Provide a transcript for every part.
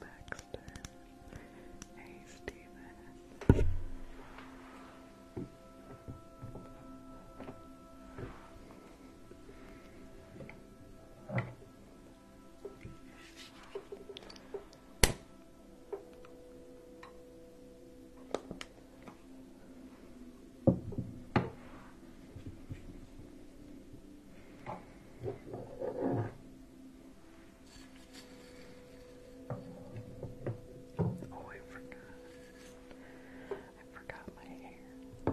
Baxter. Hey, Steven. Oh, I forgot. I forgot my hair.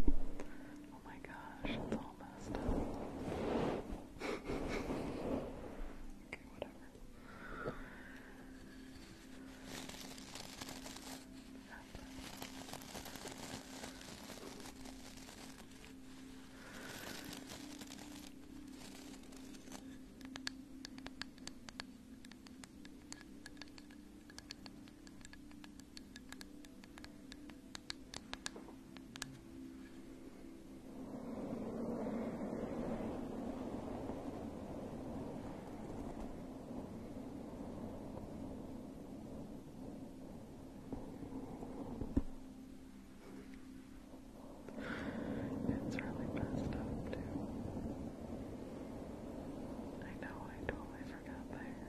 Oh my gosh, it's all messed up. okay, whatever. It's really messed up, too. I know, I totally forgot there.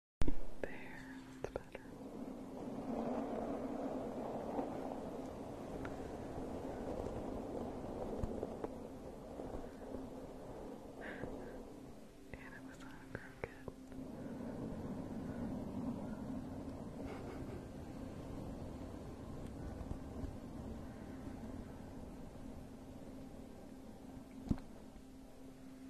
There, that's better. and it was on a crooked.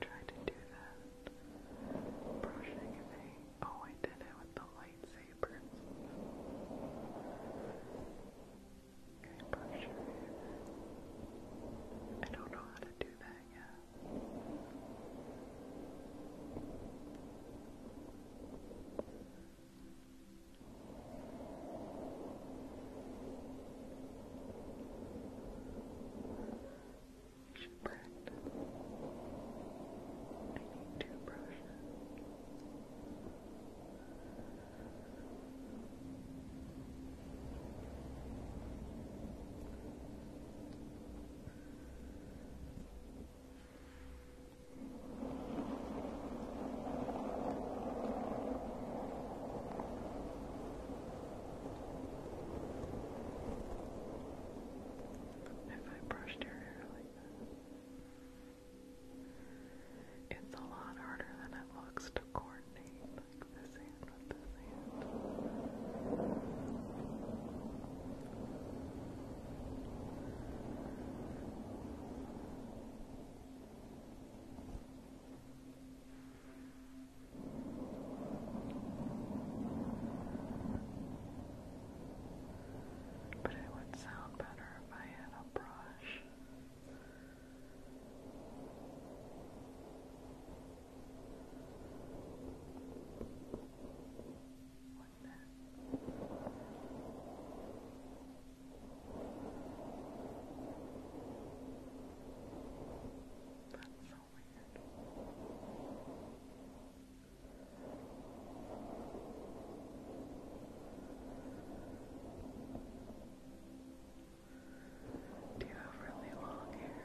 Try to do that brushing thing. Oh, I did it with the lightsabers. Okay, brush I don't know how to do that yet. But I need two brushes. Okay. If I brushed your hair like that, it's a lot harder than it looks to coordinate this hand with this hand. But it would sound better if I had a brush. That's so weird. Do you have really long hair?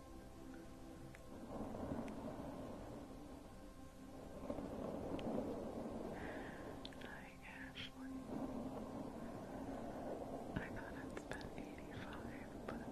Hi Ashley. I thought it's been 85, but I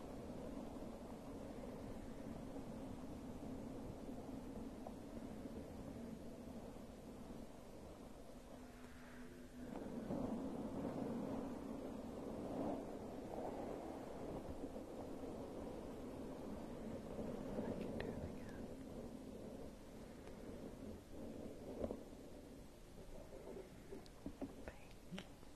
I can do it again. Thank you.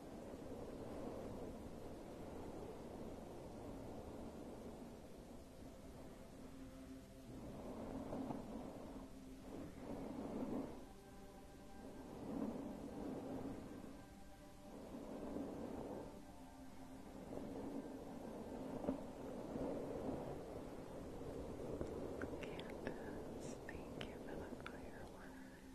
Candace, thank you for the fireworks.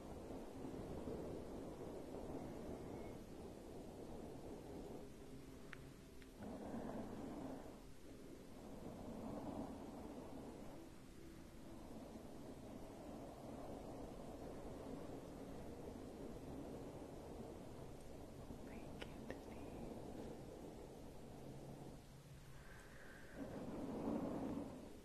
Thank you, Denise.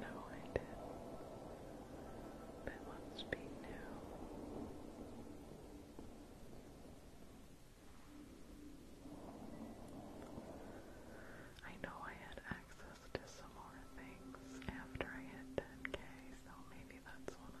No, I did. But let be new. I know I had access to some more things after I hit 10k, so maybe that's one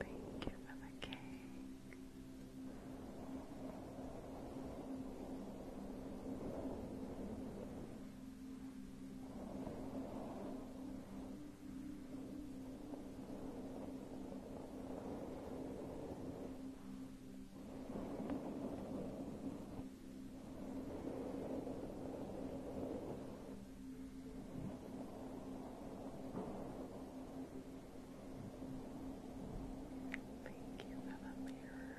Thank you for the cake. Thank Thank you for the mirror.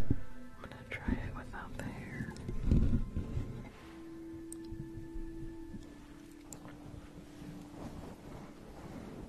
I'm gonna try it without the hair.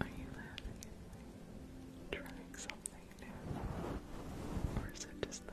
Are you laughing Trying something new? Or is it just the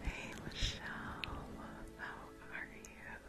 Hey Michelle, how are you?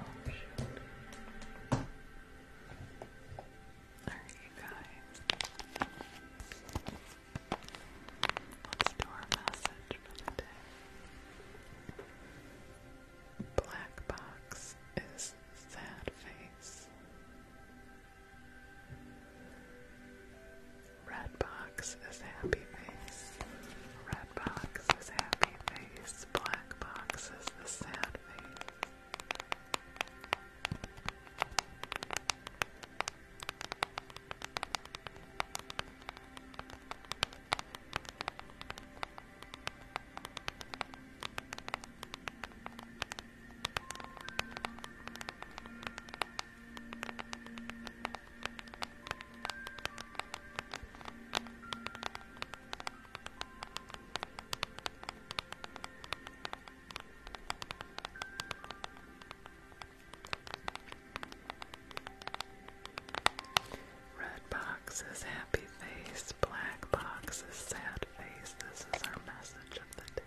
Oh shoot. Alright you guys. let message for the day. Black box is sad face. Red box is happy face. Red box is happy face. Black box is the sad face. Red box is happy face, black box is sad face. This is our message of the day.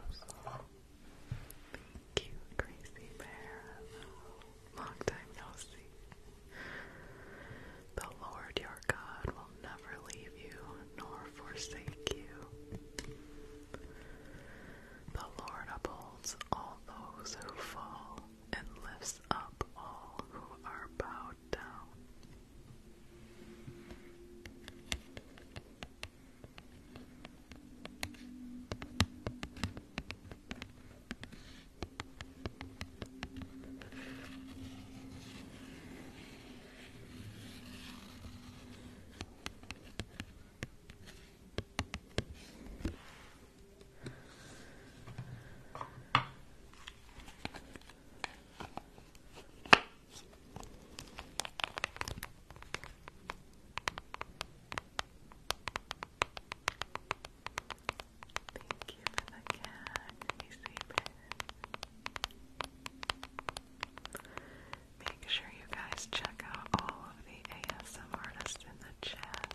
Thank you, Gracie Bear. Long time no see. The Lord your God will never leave you nor forsake you. The Lord upholds all those who fall and lifts up all who are bowed down. Thank you for the cat, Make sure you guys check out all of the ASM artists in the chat.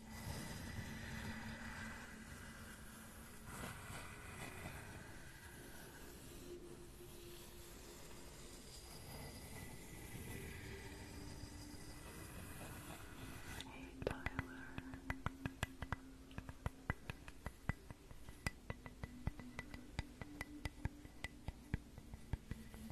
Hey, Tyler.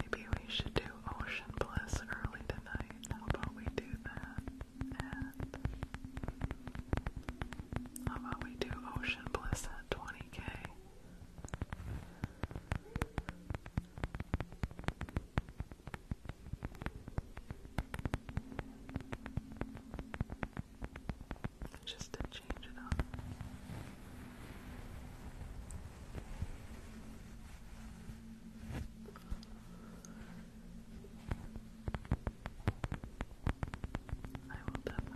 Maybe we should do Ocean Bliss early tonight. How about we do that? how about we do Ocean Bliss at 20k? Just to change it up. I will definitely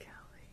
Kelly.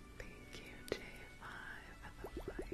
Thank you, J5, for the fire.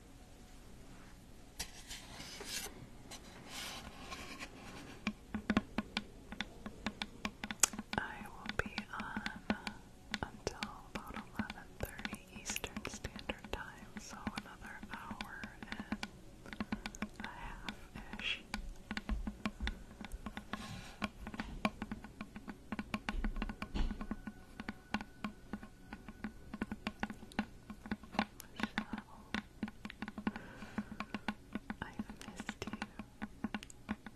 I will be on until about eleven thirty Eastern Standard Time, so another hour and a half ish. I've missed you. Love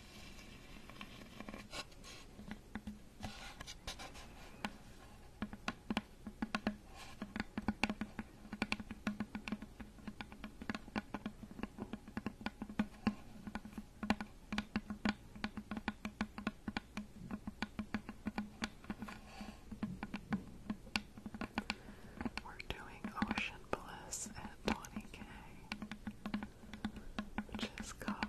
We're doing Ocean Bliss at 20k. Just cup.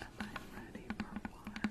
Am I ready for what?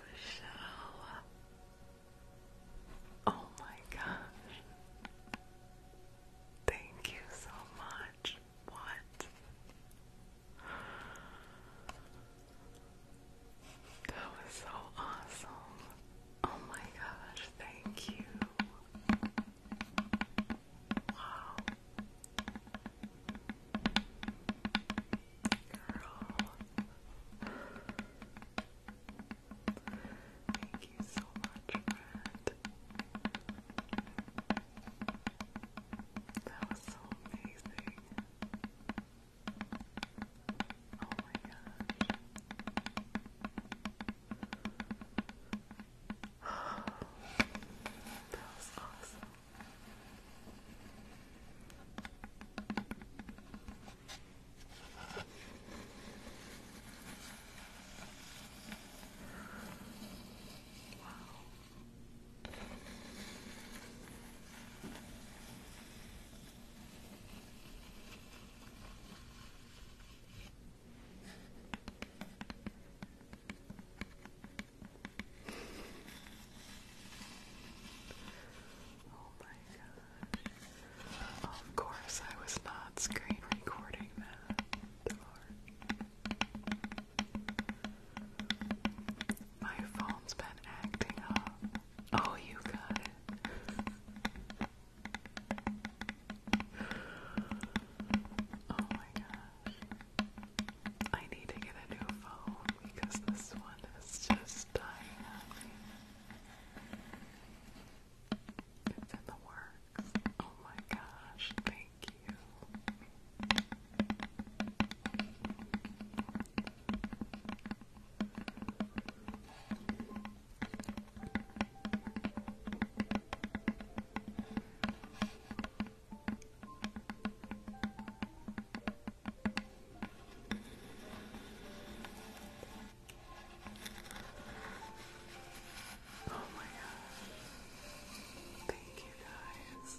Michelle. Oh my gosh. Thank you so much. What? That was so awesome. Oh my gosh, thank you. Wow. Girl. Thank you so much, That was so amazing. Oh my gosh that was awesome. Wow. Oh my god! Of course, I was not screen recording that. My phone's been acting up. Oh, you got it. Oh my gosh. I need to get a new phone because this one is just dying on me. It's in the works. Oh my gosh, thank you. Oh my gosh. Thank you guys.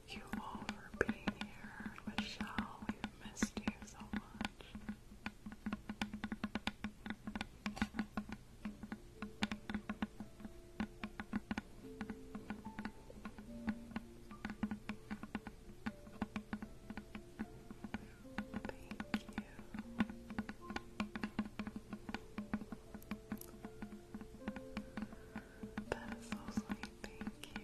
Thank you for being here. Michelle, we've missed you so much. Thank you. thank you.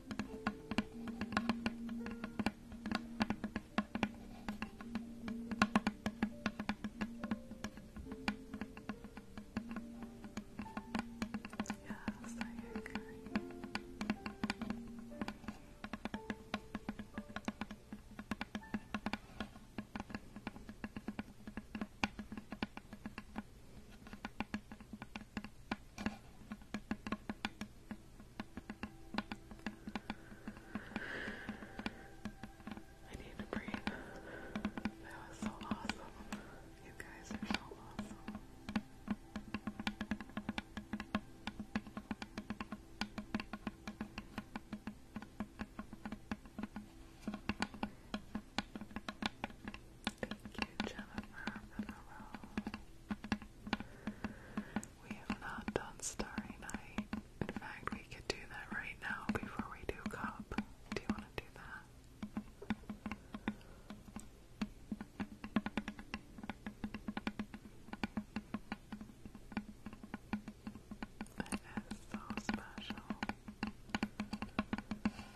Yes, I agree. Yes, I need to breathe. That was so awesome. You guys are so awesome. Thank you, Jennifer, for We have not done Starry Night. In fact, we could do that right now before we do Cup. Do you want to do that? It is so special.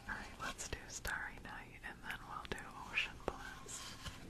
Alright, let's do Starry Night and then we'll do Ocean Blast.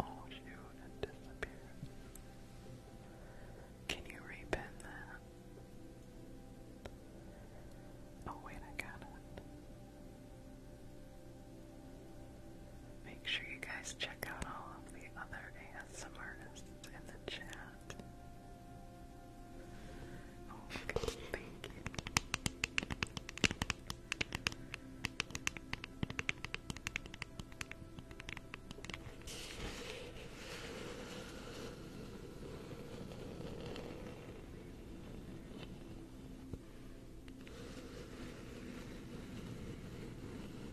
Oh shoot, it disappeared. Can you repin that? Oh wait, I got it. Make sure you guys check out all of the other ASMRists in the chat that. Oh, okay, thank you. Okay.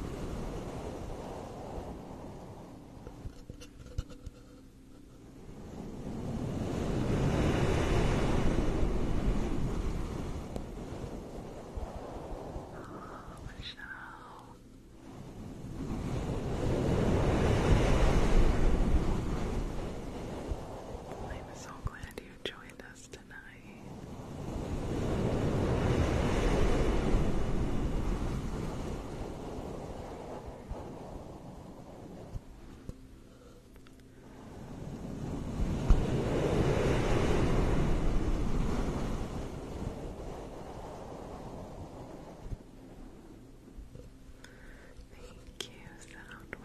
Oh, Michelle. I'm so glad you joined us Thank you, Soundwave.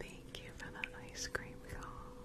Thank you for the ice cream call.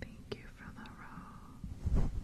Thank you for the row.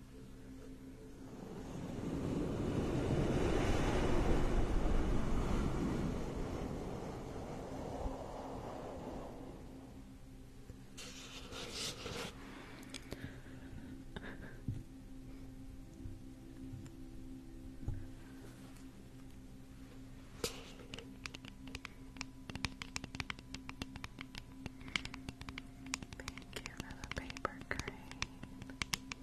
Thank you for the paper crane.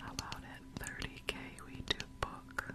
How about at 30k we do book?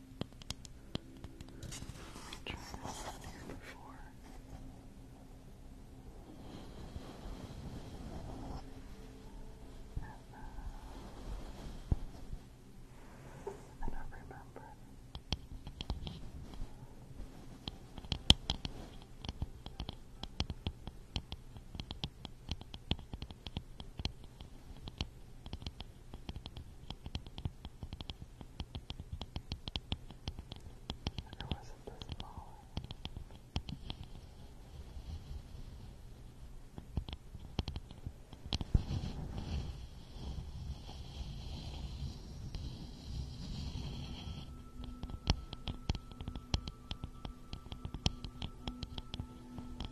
Let me try this out here before. And, uh, I don't remember. All or was it the smaller? All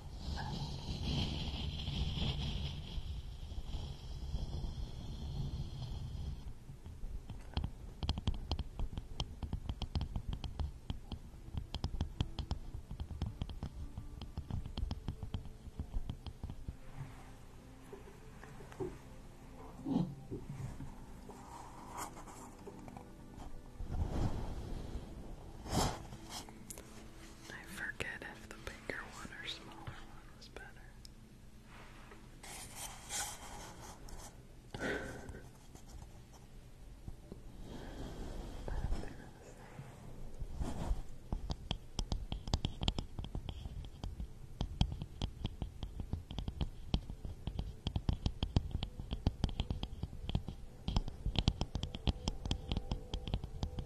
I forget if the bigger one or smaller one was better.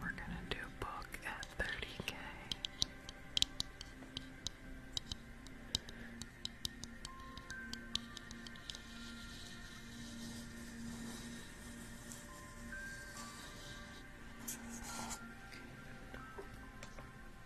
We're gonna do book at thirty K.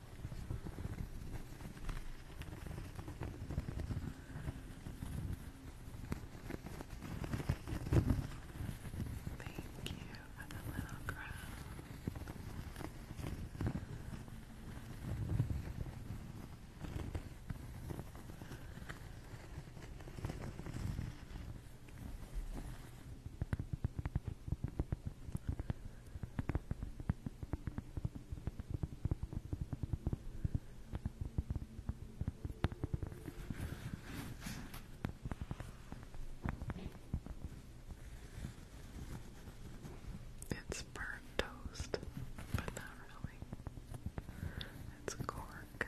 Thank you for the little crown. It's burnt toast, but not really. It's cork.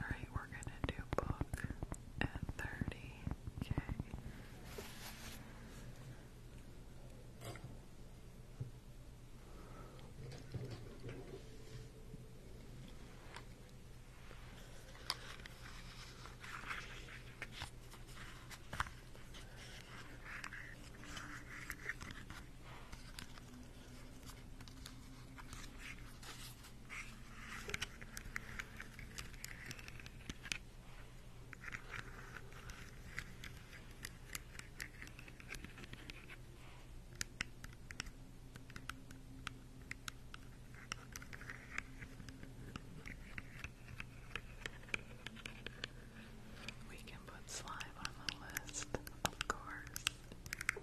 Alright, we're gonna do book at 30 Okay. We can put slime on the list, of course.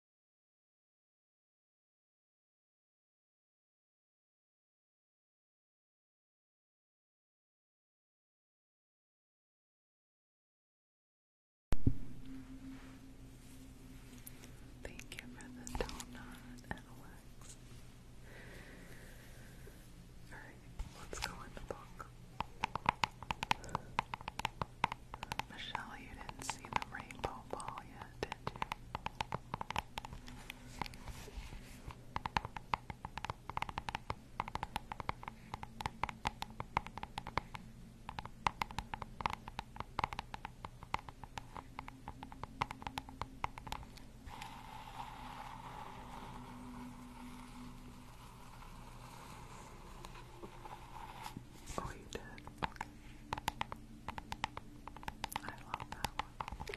Thank you for the donut, Alex. Alright, let's go in the book. Michelle, you didn't see the rainbow ball yet that, you? Oh, I love that one.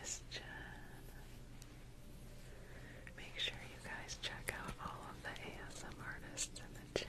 Miss Jen, Make sure you guys check out all of the ASM artists in the chat.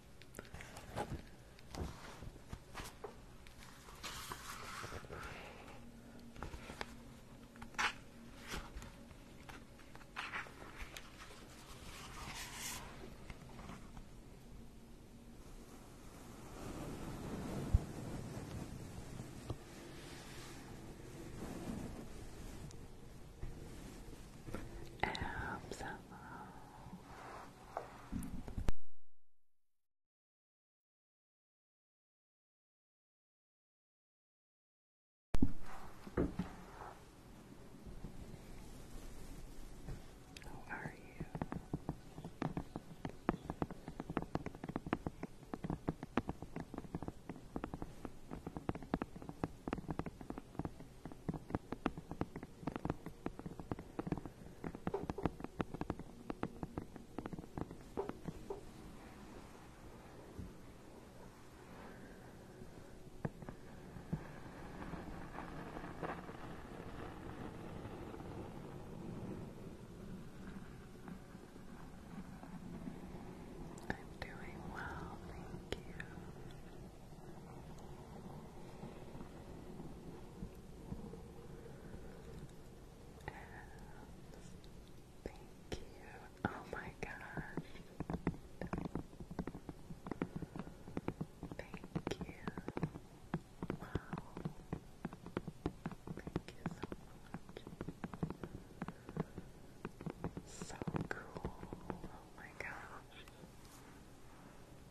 Absolutely. How are you? I'm doing well, thank you thank you. Oh my gosh. Thank you. Wow. Thank you so much. So cool. Oh my gosh.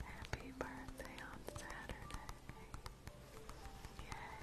Happy birthday on Saturday. Yay.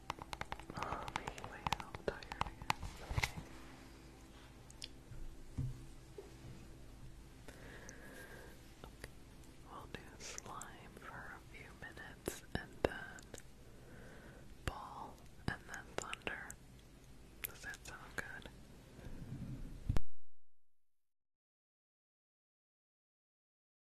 We'll do slime for a few minutes and then ball and then thunder. Does that sound good?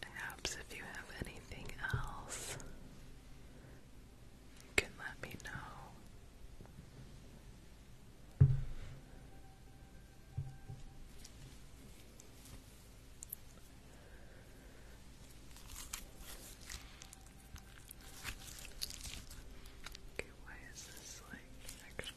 Perhaps if you have anything else, you can let me know. Okay, why is this like extra?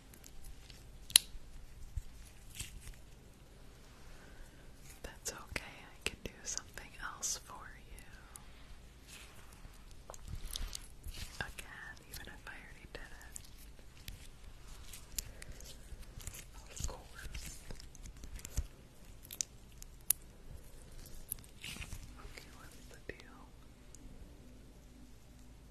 That's okay, I can do something else for you. Again, even if I already did it. Of course. Okay, what's the deal?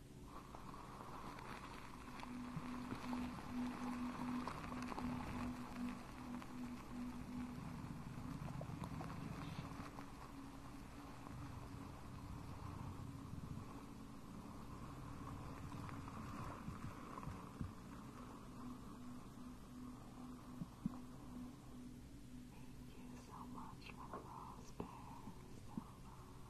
Thank you so much for the rose bear, Silva.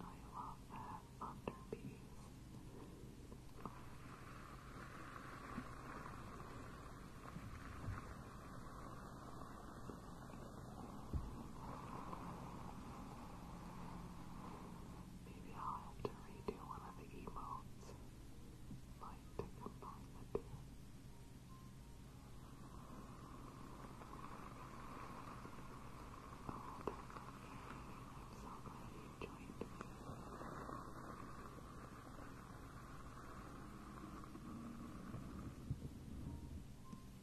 I love that under piece. I Maybe I'll have to redo one of the emotes. Like to Oh, that's okay. so glad you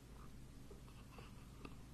You're welcome.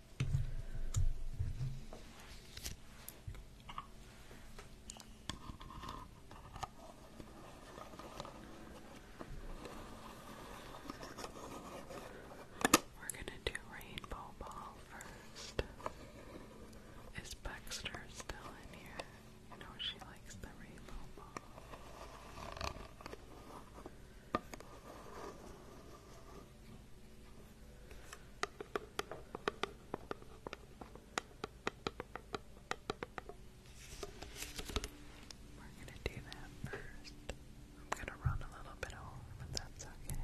We're gonna do rainbow ball first. Is Baxter still in here? I know she likes the rainbow ball. We're going to do that first. I'm going to run a little bit home, if that's okay.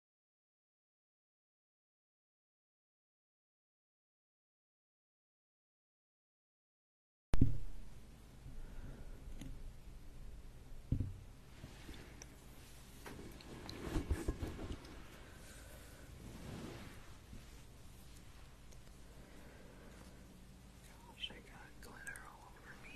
Gosh, I got glitter all over me.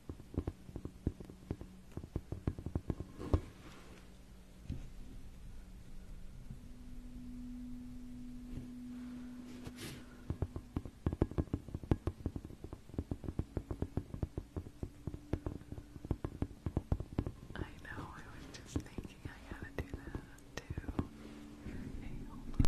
I know, I was just thinking I gotta do that too. Hey,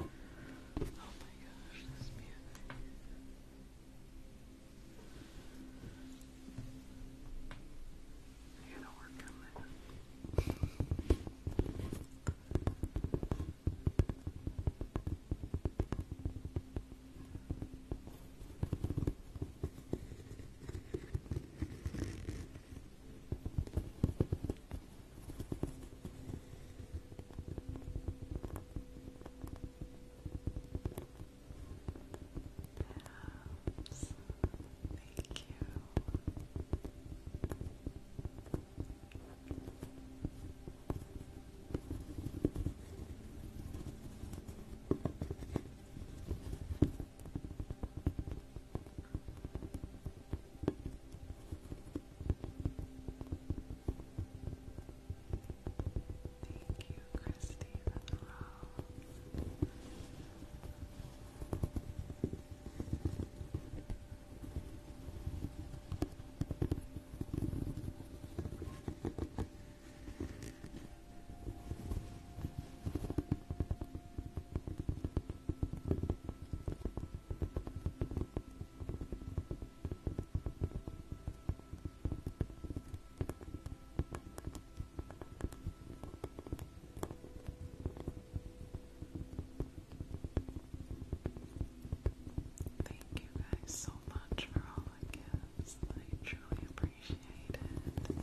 Oh my gosh, this music. I gotta work on that. Perhaps. Thank you. Thank you, Christy, for the Thank you guys so much for all the gifts. I truly appreciate it.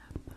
Hello, Carol.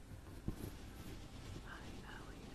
Hi, Elliot. Lovely, hello.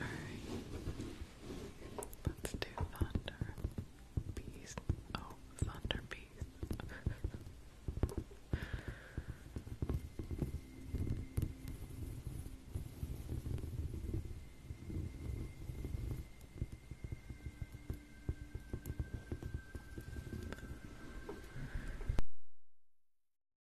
Alright. Let's do thunder. Beast. Oh, thunder beast.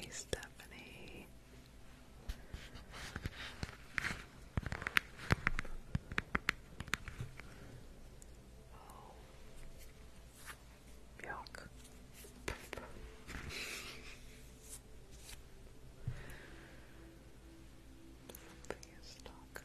Hey, Stephanie. Oh. Yuck. Please talk.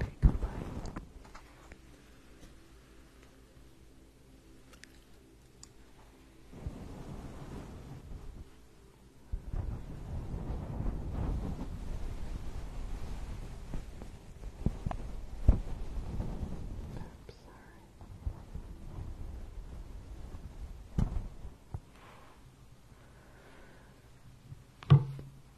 Okay, goodbye. I'm sorry.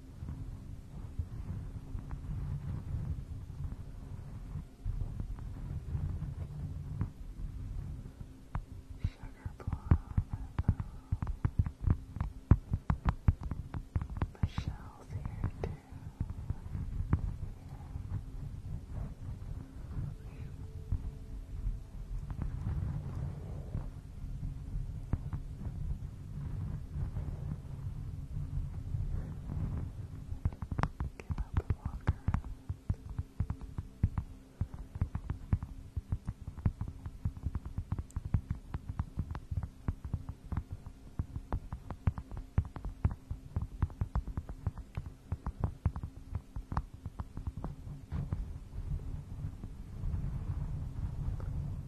Sugar plum. Michelle's here too. Thank Get up and walk around. Good.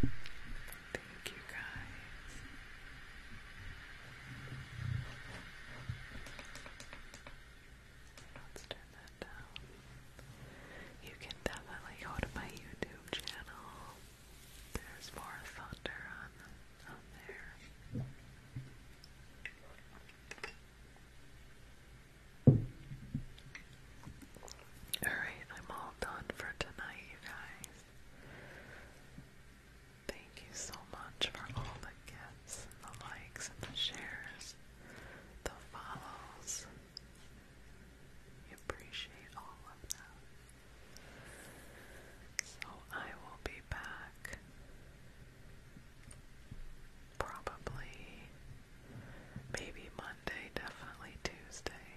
Thank you guys. Let's turn that down. You can definitely go to my YouTube channel. There's more thunder on there. Alright, I'm all done for tonight, you guys. Thank you so much for all the gifts and the likes and the shares, the follows. We appreciate all of them. So I will be back probably maybe Monday, definitely Tuesday.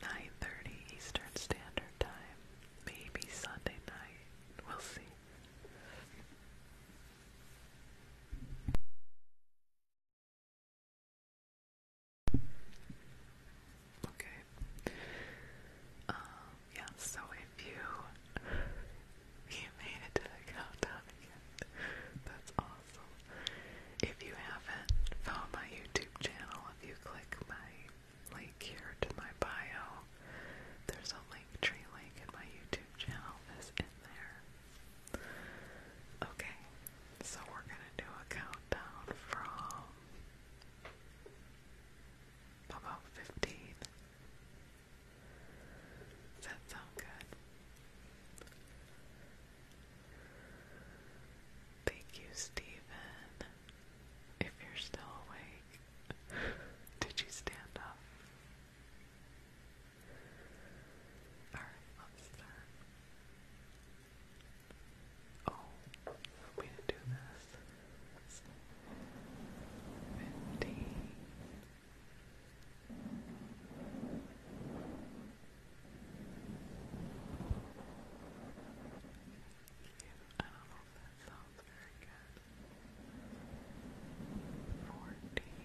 9:30 Eastern Standard Time. Maybe Sunday night. We'll see. Okay. Um, yeah, so if you you made it to the countdown that's awesome. If you haven't found my YouTube channel, if you click my link here to my bio, there's a link tree link in my YouTube channel is in there. Okay, so we're gonna do a countdown from about 15. Does that sound good? Thank you, Stephen. If you're still awake, did you stand up? Alright, let Oh, I'm do this. Fifteen. I don't know if that sounds very good. Fourteen.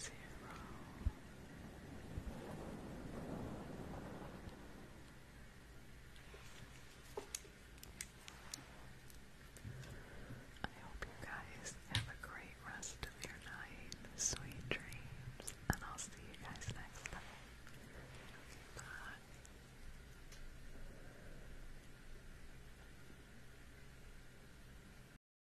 zero. I hope you guys have a great rest of your night, sweet dreams, and I'll see you guys next time. Bye.